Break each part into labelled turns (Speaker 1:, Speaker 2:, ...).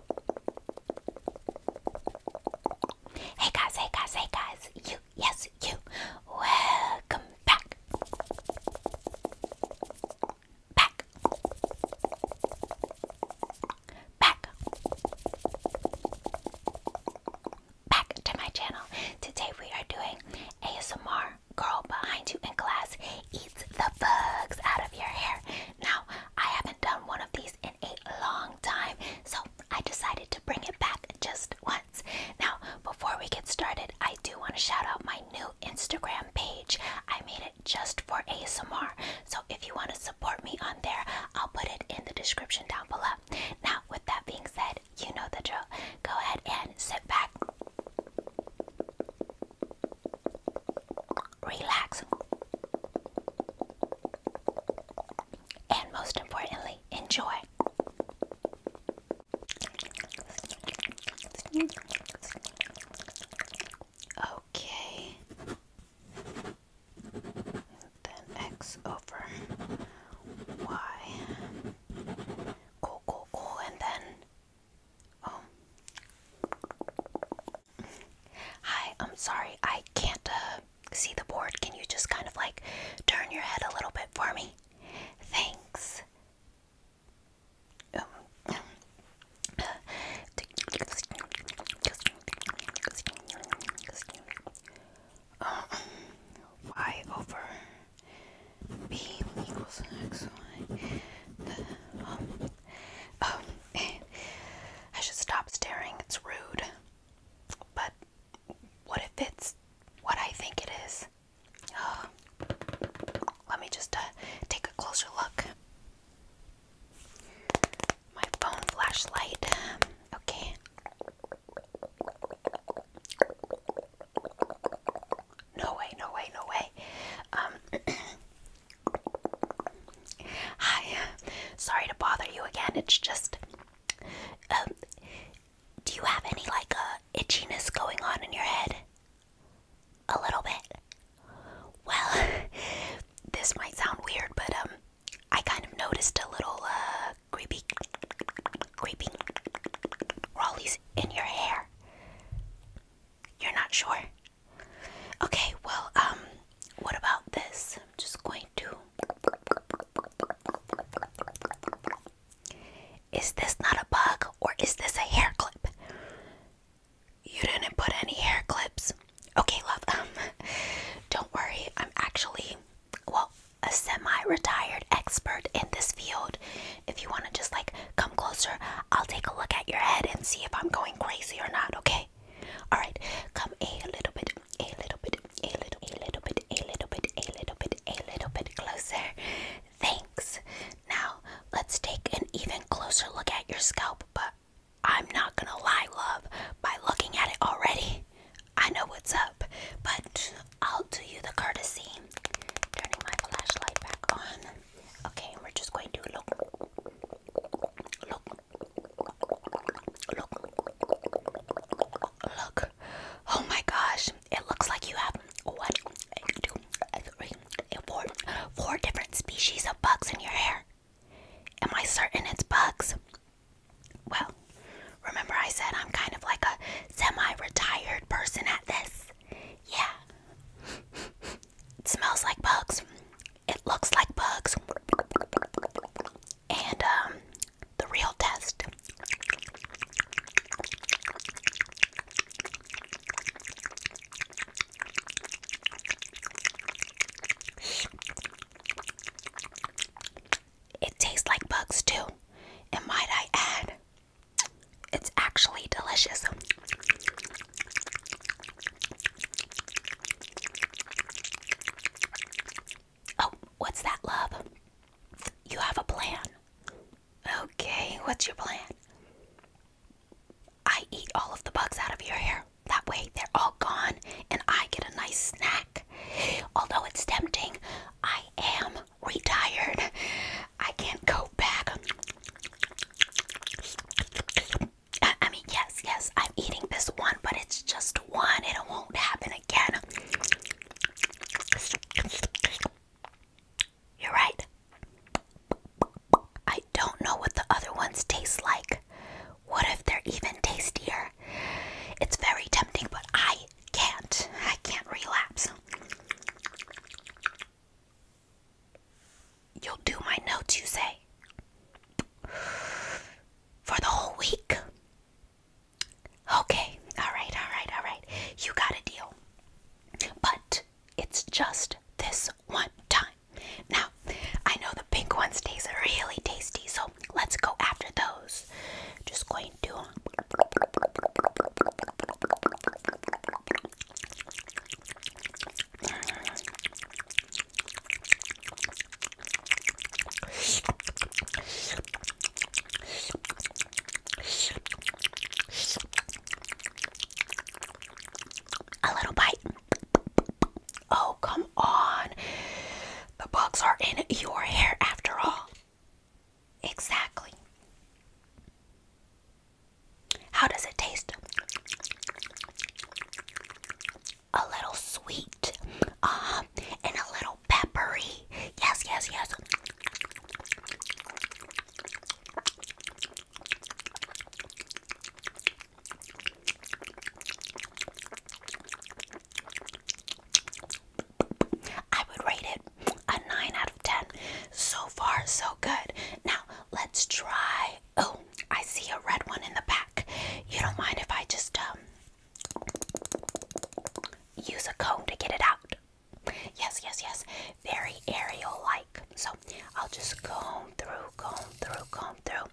Speaker 1: Hey guys, hey guys, hey guys, you, yes, you, welcome back. Back. Back. Back to my channel. Today we are doing ASMR girl behind you in class eats the bugs out of your hair. Now, I haven't done one of these in a long time, so I decided to bring it back just once. Now, before we get started, I do want to shout out my new Instagram page. I made it just for ASMR, so if you want to support me on there, I'll put it in the description down below. Now, with that being said, you know the drill. Go ahead and sit back relax, and most importantly, enjoy. Okay, then X over Y. Cool, cool, cool, and then. Oh. Hi, I'm sorry, I can't uh, see the board. Can you just kind of like turn your head a little bit for me? Thanks. Um, y over b equals x y. Um, um, I should stop staring, it's rude. But what if it's what I think it is? let me just uh, take a closer look. My phone flashlight. Okay. No way, no way, no way. Um, Hi. Sorry to bother you again. It's just um do you have any like a uh, itchiness going on in your head? A little bit. Well, this might sound weird, but um I kind of noticed a little uh creepy creepy raleighs in your hair. You're not sure? Okay, well, um, what about this? I'm just going to. Is this not a bug or is this a hair clip? You didn't put any hair clips. Okay, love. Um, don't worry. I'm actually, well, a semi-retired expert in this field. If you want to just like come closer, I'll take a look at your head and see if I'm going crazy or not. Okay. All right. Come a little bit, a little bit, a little, a little bit, a little bit, a little bit, a little bit closer. Thanks. Now let's take an even closer look at your scalp. But I'm not gonna lie, love. By looking at it already, I know what's up. But I'll do you the courtesy. Turning my flashlight back on. Okay, we're just going to look, look, Look. Look. Oh my gosh. It looks like you have one, two, three, four, four different species of bugs in your hair. Am I certain it's bugs? Well, remember I said I'm kind of like a semi retired person at this. Yeah. smells like bugs. It looks like bugs. And um, the real test it tastes like bugs too. And might I add, it's actually delicious. Oh, what's that, love? You have a plan. Okay, what's your plan? I eat all of the bugs out of your hair. That way they're all gone and I get a nice snack. Although it's tempting, I am retired. I can't go back. I mean, yes, yes, I'm eating this one, but it's just one. It won't happen again. You're right. I don't know what the other ones taste like. What if they're even tastier? It's very tempting, but I can't. I can't relapse. You'll do my notes, you say? For the whole week? Okay, alright, alright, alright. You got a deal. But it's just this one time. Now, I know the pink ones taste really tasty, so let's go after those. Just going to. Um, a little bite. Oh, come on. The bugs are in your hair after all. Exactly. How does it taste? a little sweet, uh, and a little peppery. Yes, yes, yes. I would rate it a 9 out of 10. So far, so good. Now, let's try Oh, I see a red one in the back. You don't mind if I just um use a comb to get it out? Yes, yes, yes. Very aerial-like. So I'll just comb through, comb through, comb through.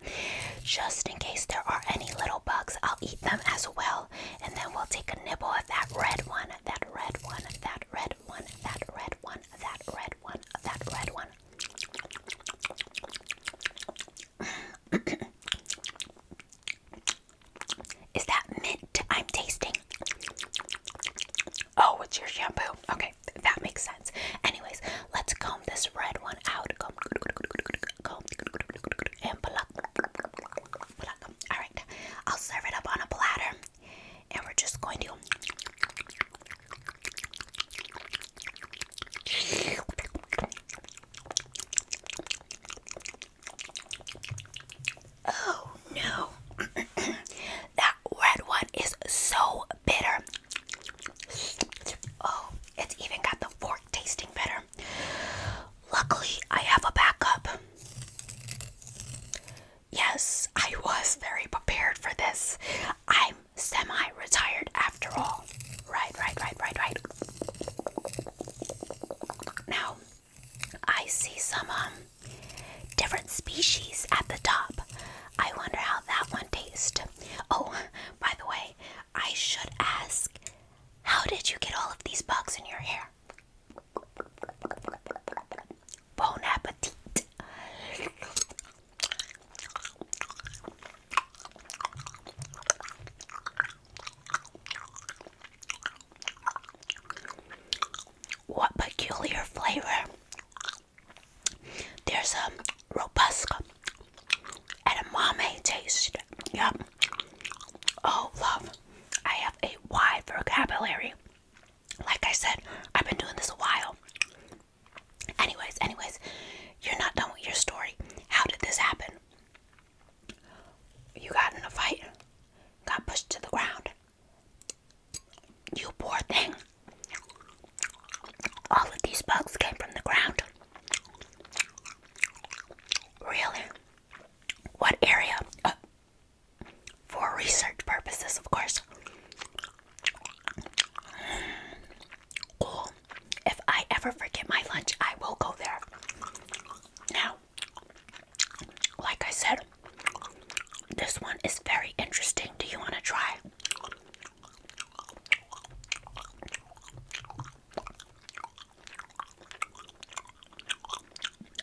Speaker 1: Just in case there are any little bugs, I'll eat them as well. And then we'll take a nibble of that red one, that red one, that red one, that red one, that red one, that red one. Is that mint I'm tasting? Oh, it's your shampoo. Okay, that makes sense. Anyways, let's comb this red one out. Comb, comb, and All right, I'll serve it up on a platter, and we're just going to Oh no, that red one is so bitter. Oh, it's even got the fork tasting better. Luckily, I have a backup. Yes, I was very prepared for this. I'm semi retired after all. Right, right, right, right, right. Now, I see some um, different species at the top. I wonder how that one tastes. Oh, by the way, I should ask how did you get all of these bugs in your hair? Bon appetit. What peculiar flavor! There's a robust and umami taste. Yep. Oh, love. I have a wide vocabulary. Like I said, I've been doing this a while. Anyways, anyways, you're not done with your story. How did this happen? You got in a fight, got pushed to the ground. You poor thing. All of these bugs came from the ground. Really? What area? Uh, for research purposes, of course. Cool. If I ever forget my lunch, I will go there. Now, like I said, this one is very interesting. Do you want to try?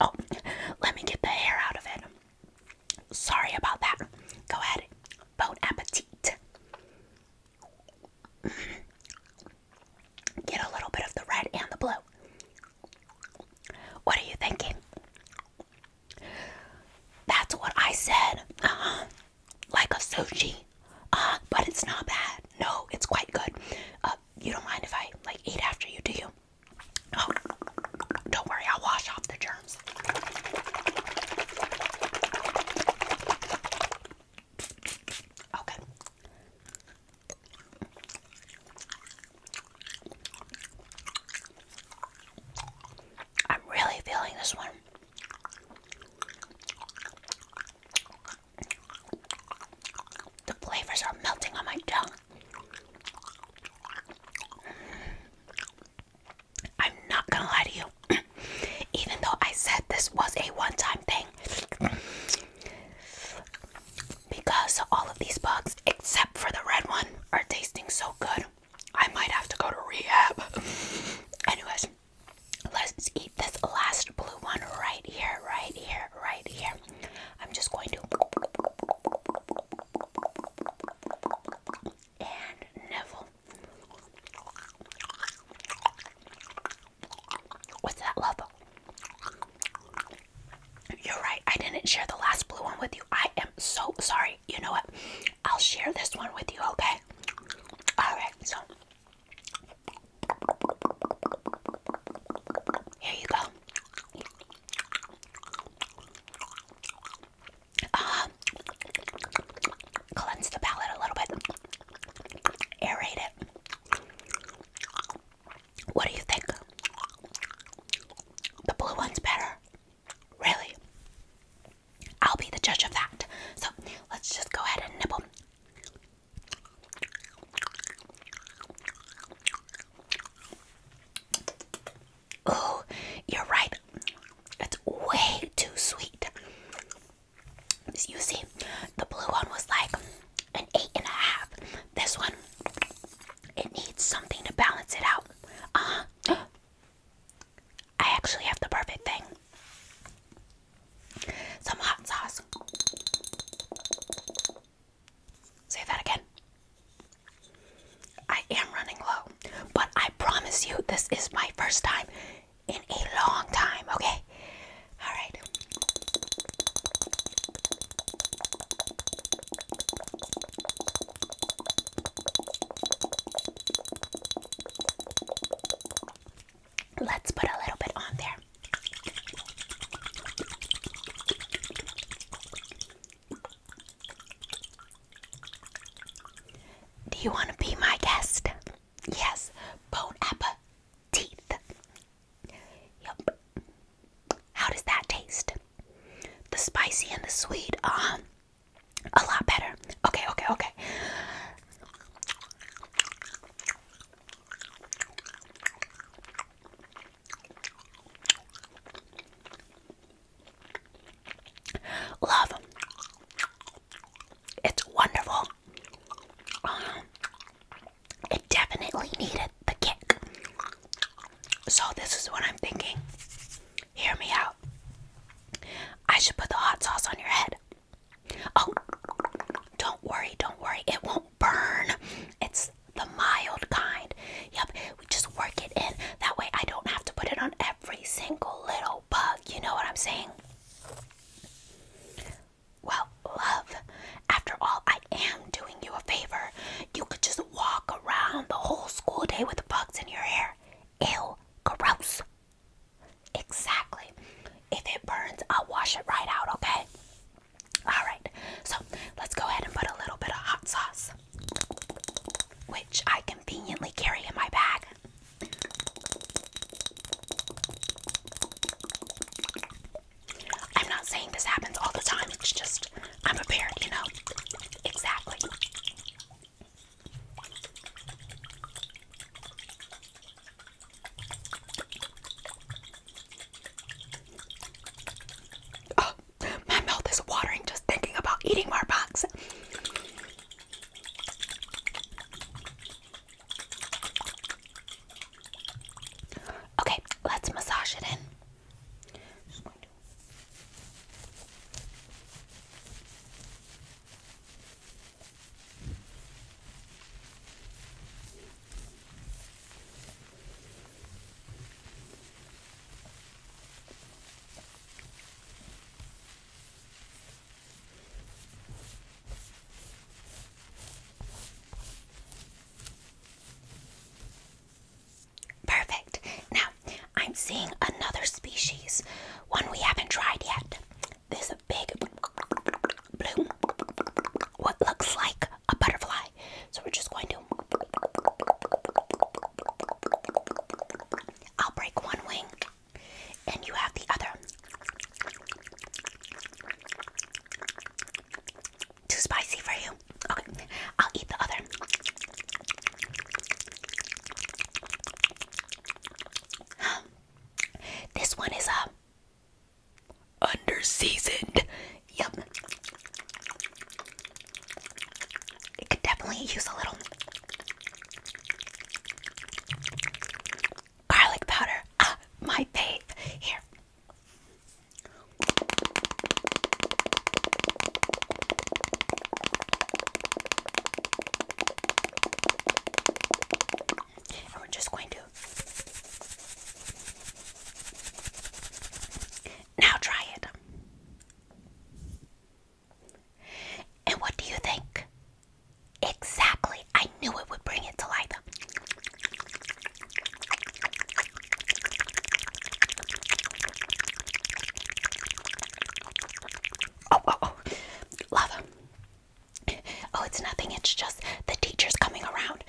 Speaker 1: Oh, let me get the hair out of it. Sorry about that. Go ahead. Bon appetit. Get a little bit of the red and the blue. What are you thinking? That's what I said. Uh huh. Like a sushi. Uh, but it's not bad. No, it's quite good. Uh, you don't mind if I like eat after you, do you? Oh, don't worry, I'll wash off the germs. Okay. I'm really feeling this one. The flavors are melting on my tongue. I'm not gonna lie to you. even though I said this was a one time thing. Because all of these bugs, except for the red one, are tasting so good, I might have to go to rehab. Anyways, let's eat this last blue one right here, right here, right here. I'm just going to. And Neville. What's that love? You're right. I didn't share the last blue one with you. I am so sorry. You know what? I'll share this one with you, okay? Alright, so here you go. Uh, cleanse the palate a little bit. Aerate it. What do you think? The blue one's better. Really? I'll be the judge of that. So let's just go ahead and nibble. Oh, you're right. It's way too sweet. You see, the blue one was like an eight and a half. This one, it needs something to balance it out. Uh I actually have the perfect thing. Some hot sauce. Say that again. I am running low, but I promise you, this is my first time in a long time, okay? All right. Let's put a little bit on there. Do you want to be my guest? Yes, bone apple teeth. Yup. How does that taste? The spicy and the sweet. Um, a lot better. Okay, okay, okay. Love. It's wonderful it definitely needed the kick. So, this is what I'm thinking. Hear me out. I should put the hot sauce on your head. Oh, don't worry, don't worry. It won't burn. It's the mild kind. Yep, we just work it in. That way, I don't have to put it on every single little bug, you know what I'm saying? Well, love, after all, I am doing you a favor. You could just walk around the whole school day with bugs in your hair. Ew, gross. Exactly. If it burns, I'll wash it right out, okay? Alright, so let's go ahead and put a little bit of hot sauce, which I conveniently carry in my bag. I'm not saying this happens all the time, it's just I'm prepared, you know. Exactly. Oh, my mouth is watering just thinking about eating more box. Okay, let's massage it in. Perfect. Now, I'm seeing another species, one we haven't tried yet. This big blue, what looks like a butterfly. So we're just going to. I'll break one wing and you have the other too spicy for you okay i'll eat the other this one is a uh, under seasoned yep it could definitely use a little garlic powder. Ah, my babe. Here. we're just going to now try it. And what do you think? Exactly. I knew it would bring it to life. Oh, oh, oh. Lava. Oh, it's nothing. It's just the teacher's coming around.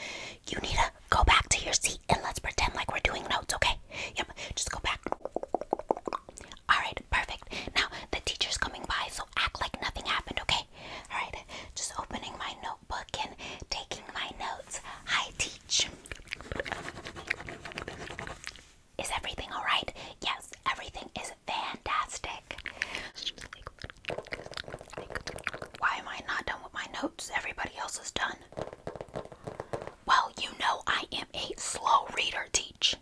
Speaker 1: You need to go back to your seat and let's pretend like we're doing notes, okay? Yep, just go back. Alright, perfect. Now, the teacher's coming by, so act like nothing happened, okay? Alright, just opening my notebook and taking my notes. I teach. Is everything alright? Yes, everything is fantastic. Why am I not done with my notes? Everybody else is done. Well, you know I am a slow reader, teach.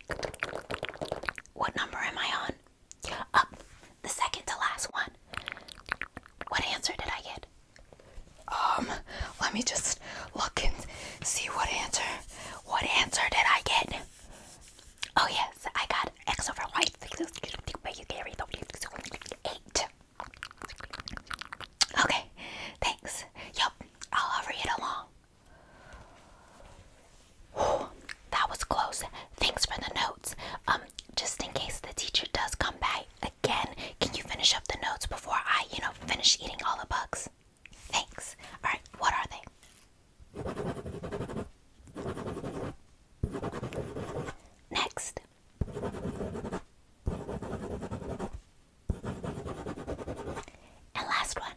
Speaker 1: What number am I on? Up, the second to last one. What answer did I get? Um, let me just look and see what answer. What answer did I get? Oh yes, I got X over Y. Eight. Okay, thanks. Yup, I'll hurry it along that was close. Thanks for the notes. Um, just in case the teacher does come back again, can you finish up the notes before I, you know, finish eating all the bugs? Thanks. All right, what are they? Next. And last one.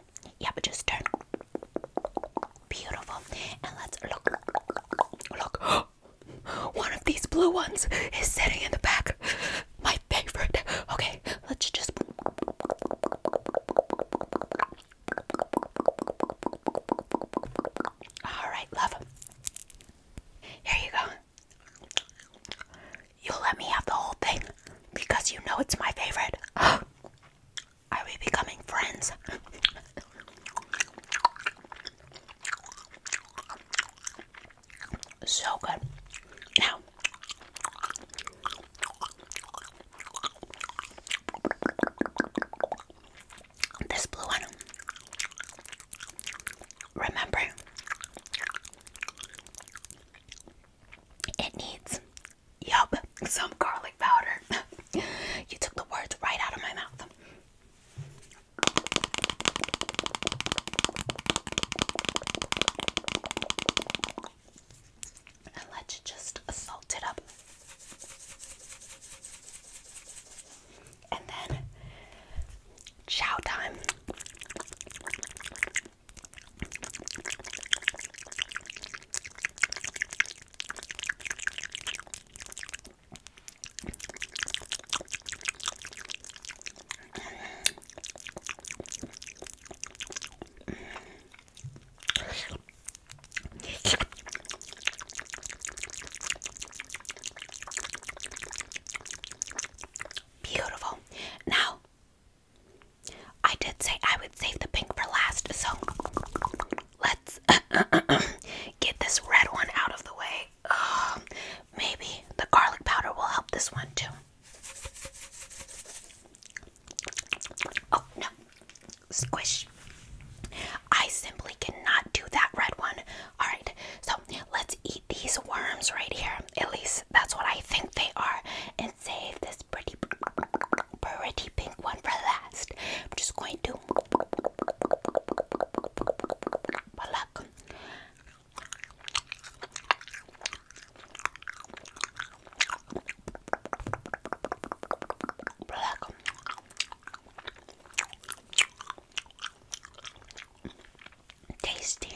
Speaker 1: Yeah, but just turn. Beautiful. And let's look. Look. One of these blue ones is sitting in the back. My favorite. Okay, let's just. Alright, love. Here you go. You'll let me have the whole thing because you know it's my favorite. Are we becoming friends? so good. Now, this blue one, remember, it needs, yup, some garlic powder. you took the words right out of my mouth. And let's just salt it up. And then chow time. Beautiful. Now, I did say I would save the pink for last, so let's get this red one out of the way. Um, maybe the garlic powder will help this one too. Oh no, squish. I simply cannot do that red one. Alright, so let's eat these worms right here. At least that's what I think they are save this pretty, pretty pink one for last. I'm just going to pluck. Pluck. Tasty.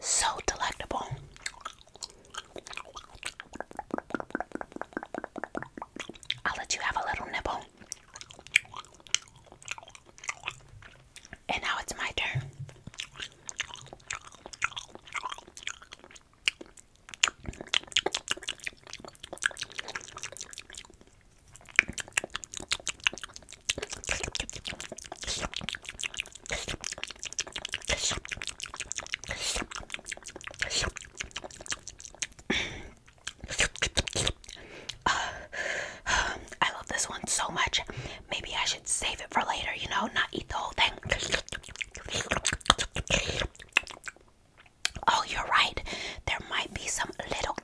Speaker 1: So delectable. I'll let you have a little nibble. And now it's my turn. Uh, I love this one so much. Maybe I should save it for later, you know, not eat the whole thing. Oh, you're right. There might be some little,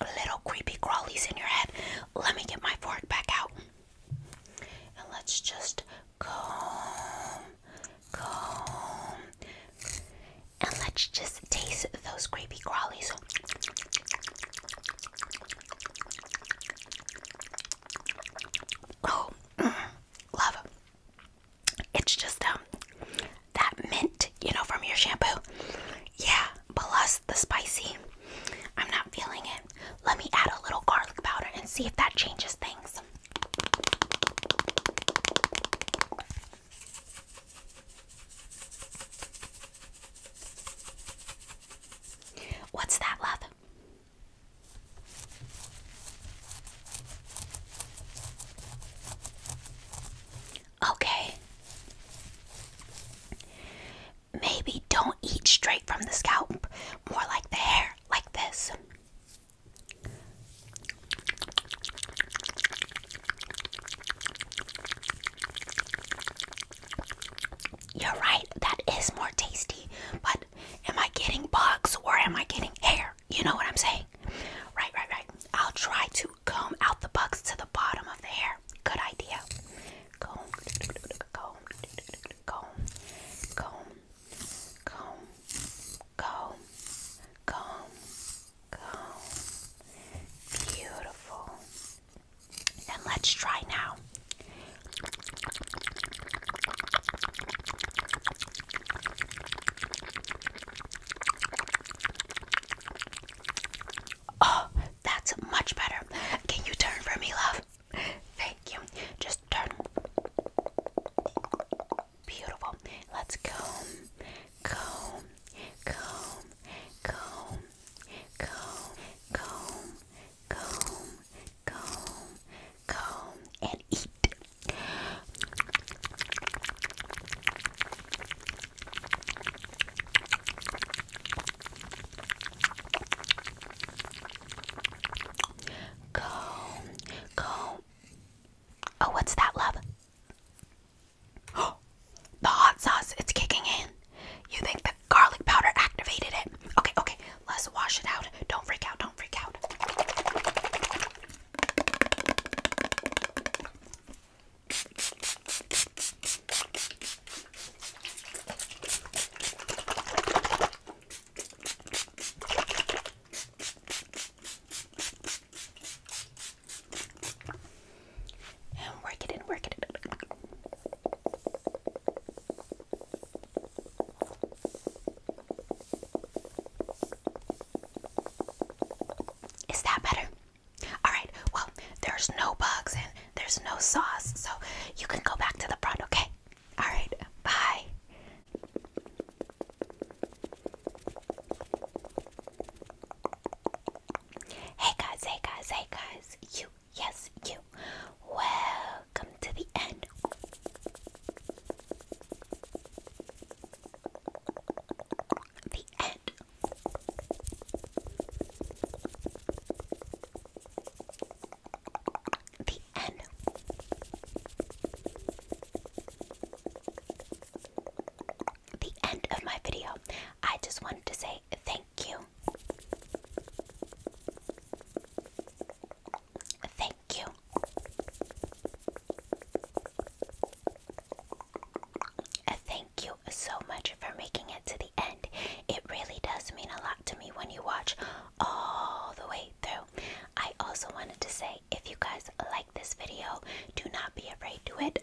Speaker 1: little creepy crawlies in your head. Let me get my fork back out. And let's just comb, comb. And let's just taste those creepy crawlies. Oh, love. It's just um that mint, you know, from your shampoo. Yeah, plus the spicy. I'm not feeling it. Let me add a little garlic powder and see if that changes things. What's that, love? Okay. Maybe don't eat straight from the scalp, more like the hair, like this. You're right, that is more tasty, but am I getting bugs or am I getting hair? You know what I'm saying? Right, right, right. I'll try to comb out the bugs to the bottom of the hair. Good idea. Comb, comb, comb, comb, comb, comb, comb, comb. Beautiful. And let's try now. Oh, that's much better. Can you turn for me, love? Thank you. Just turn. Beautiful. Let's comb, comb, comb, comb, comb, comb, Come, come, come and eat. Comb, comb. Oh, what's that, love? Oh, the hot sauce, it's kicking in. You think that garlic powder activated it. Okay, okay, let's wash it out. Don't freak out, don't freak out. work it in, work it in. Is that better? All right. Well, there's no bugs and there's no sauce, so you can go back to the front, okay? All right. Bye. Hey guys, hey guys, hey guys. You Yes, you. Welcome to the end. The end. The end. The end of my video. I just wanted to say thank you. Thank you. Uh, thank you so much for making it to the end. It really does mean a lot to me when you watch all the way through. I also wanted to say if you guys like this video, do not be afraid to it.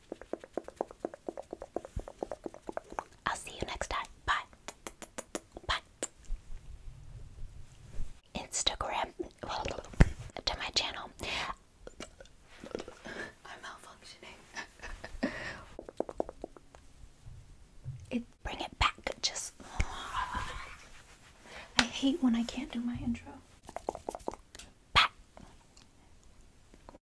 Speaker 1: I'll see you next time. Bye. Bye. Instagram to my channel. I'm malfunctioning. it bring it back. Just I hate when I can't do my intro. Bye.